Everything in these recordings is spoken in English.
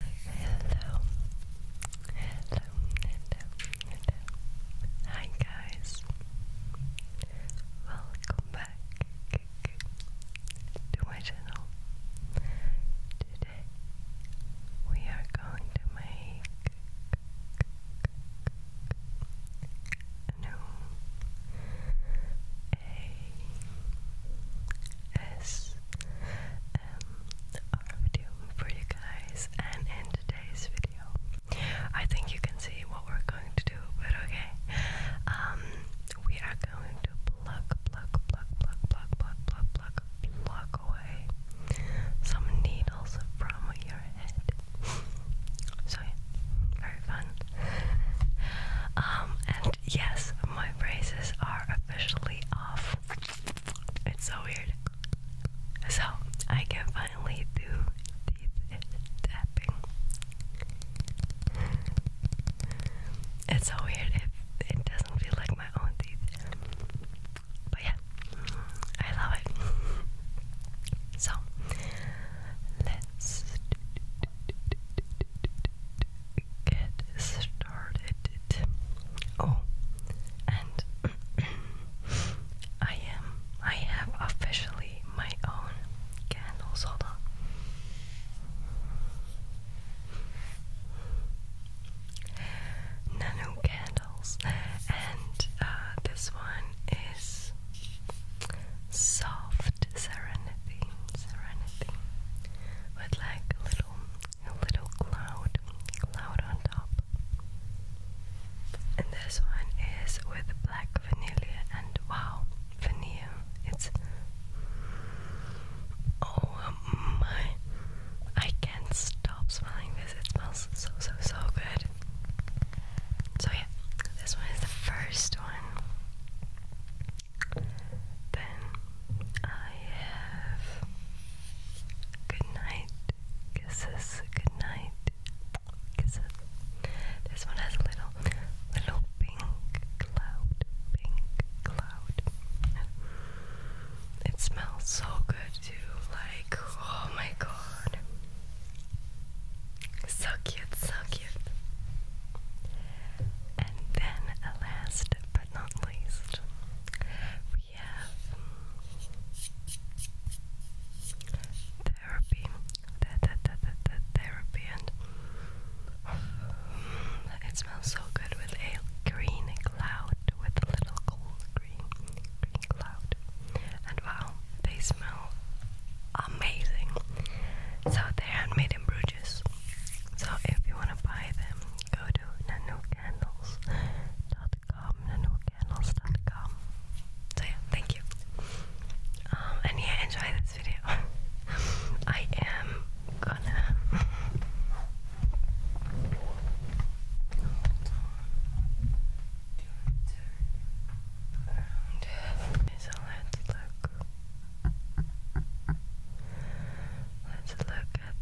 Hello, hello, hello, hello. Hi guys, welcome back to my channel. Today we are going to make A S um, our video for you guys. And in today's video, I think you can see what we're going to do, but okay. Um, we are going to pluck, pluck, pluck, pluck, pluck, pluck, pluck, pluck, away some needles from your head. so yeah, very fun. um, and yes, my braces are officially off. It's so weird. So I can finally do teeth tapping. It's so weird. It, it doesn't feel like my own teeth. But yeah, I love it. So let's get started Oh, and I am. I have officially my own candles. Hold on. candles, and uh, this one is soft serenity, serenity, with like little a little cloud, cloud on top. And this one is with black vanilla and wow, vanilla. It's oh my, I can't stop smelling this. It smells so so so good. So yeah, this one is the first one. Then I have good night kisses, good night kisses. This one has a little, little pink cloud, pink cloud. It smells so good too. Like, oh my god. So cute, so cute. And then a last but not least, we have mm, therapy. That that that that, that therapy mm, it smells so good with a green cloud with a little cool green cloud. And wow, they smell amazing. So they're handmade in Bruges. So if you want to buy them, go to So yeah, thank you. Um, and yeah, enjoy this video. I am gonna. Let's look at them.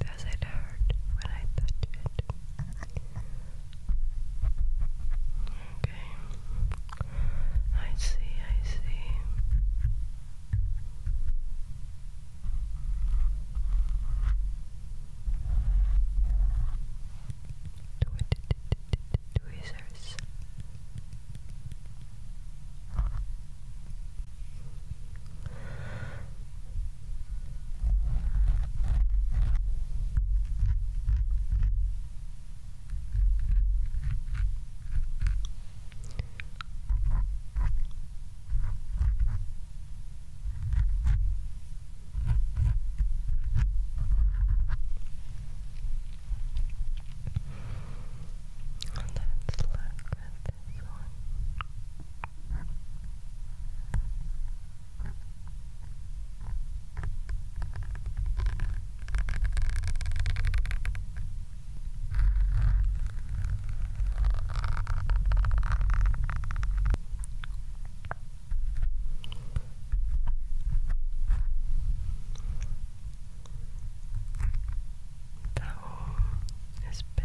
Does it hurt when I touch it? Okay. I see, I see. Tweezers. Let's look at this one. The home is big.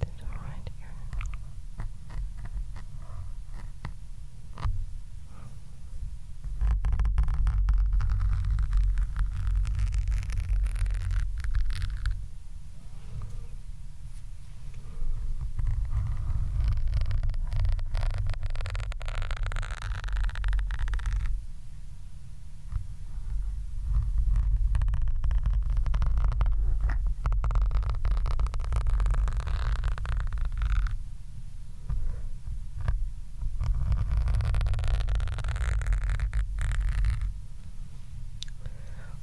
There's one right here. There's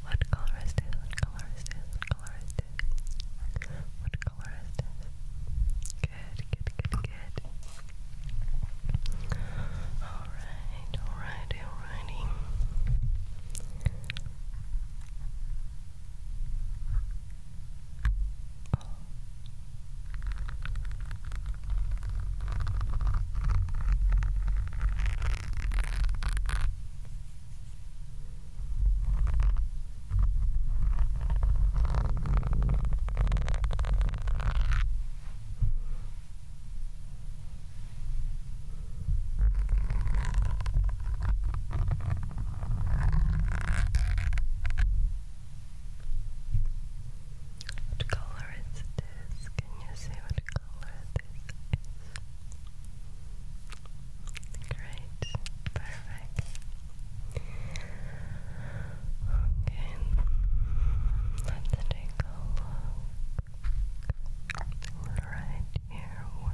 what color is this? What color is this? What color is this? What color is this? Good, good, good, good. Alright, alright, alrighty. What color is this? Can you see what color this is? Great, perfect. Okay, let's take look right here. What,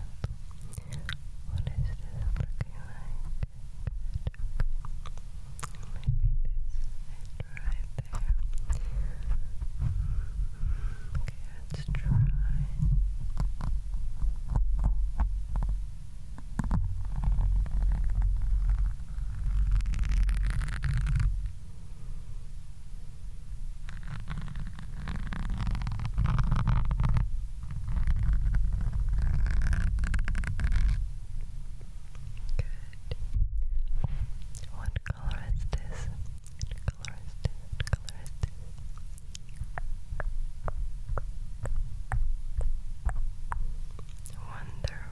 what is this looking like? Maybe this right there. Okay, let's try. Good. What color is this? What color is this? What color is this? Wonderful.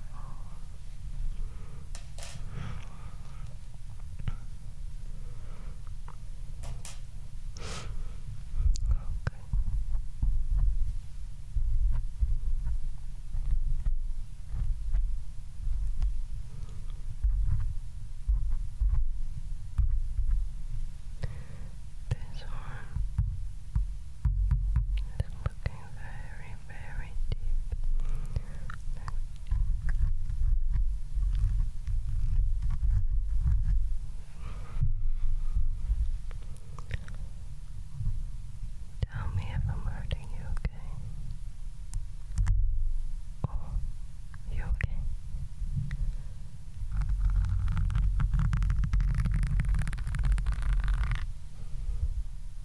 This one is looking very very, Tell me if I'm hurting you, okay? Oh, you Okay.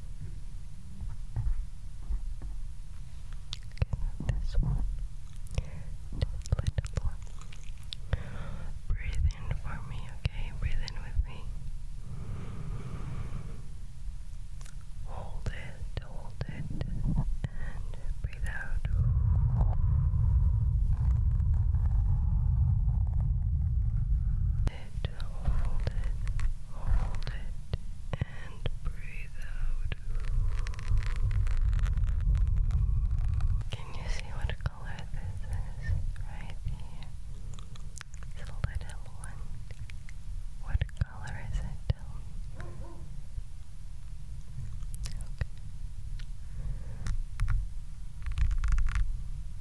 now this one. little more. Breathe in for me, okay? Breathe in with me. Hold it, hold it, and breathe out it, hold it, hold it, and breathe out. Can you see what color this is right here? It's little one. What color is it? Okay.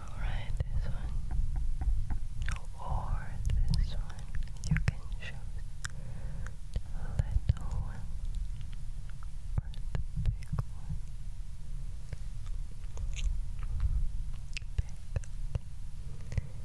Alright, this one or this one, you can choose the little one or the big one. Big, okay.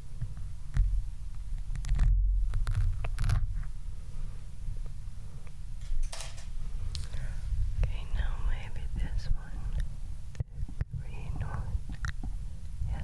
Okay, now maybe this one. The green one. Yes.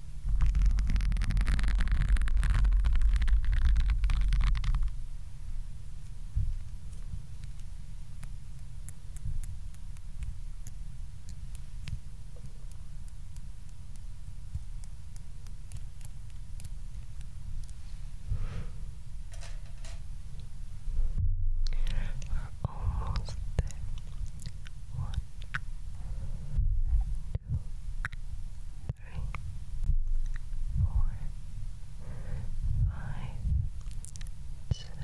We're almost there. One, two, three, four, five, six, seven.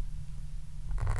And the last two.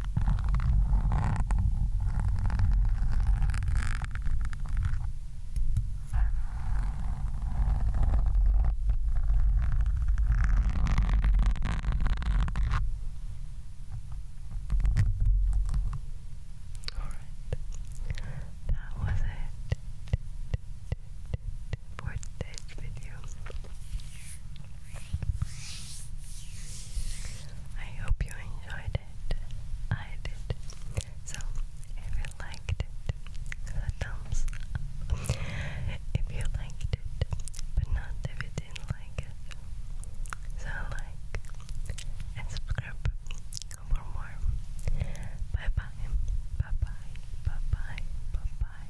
that was it for today's video. I hope you enjoyed it did. I did. So if you liked it, a thumbs If you liked it, but not if you didn't like it, so like and subscribe for more. Bye bye. Bye bye. Bye bye. Bye bye.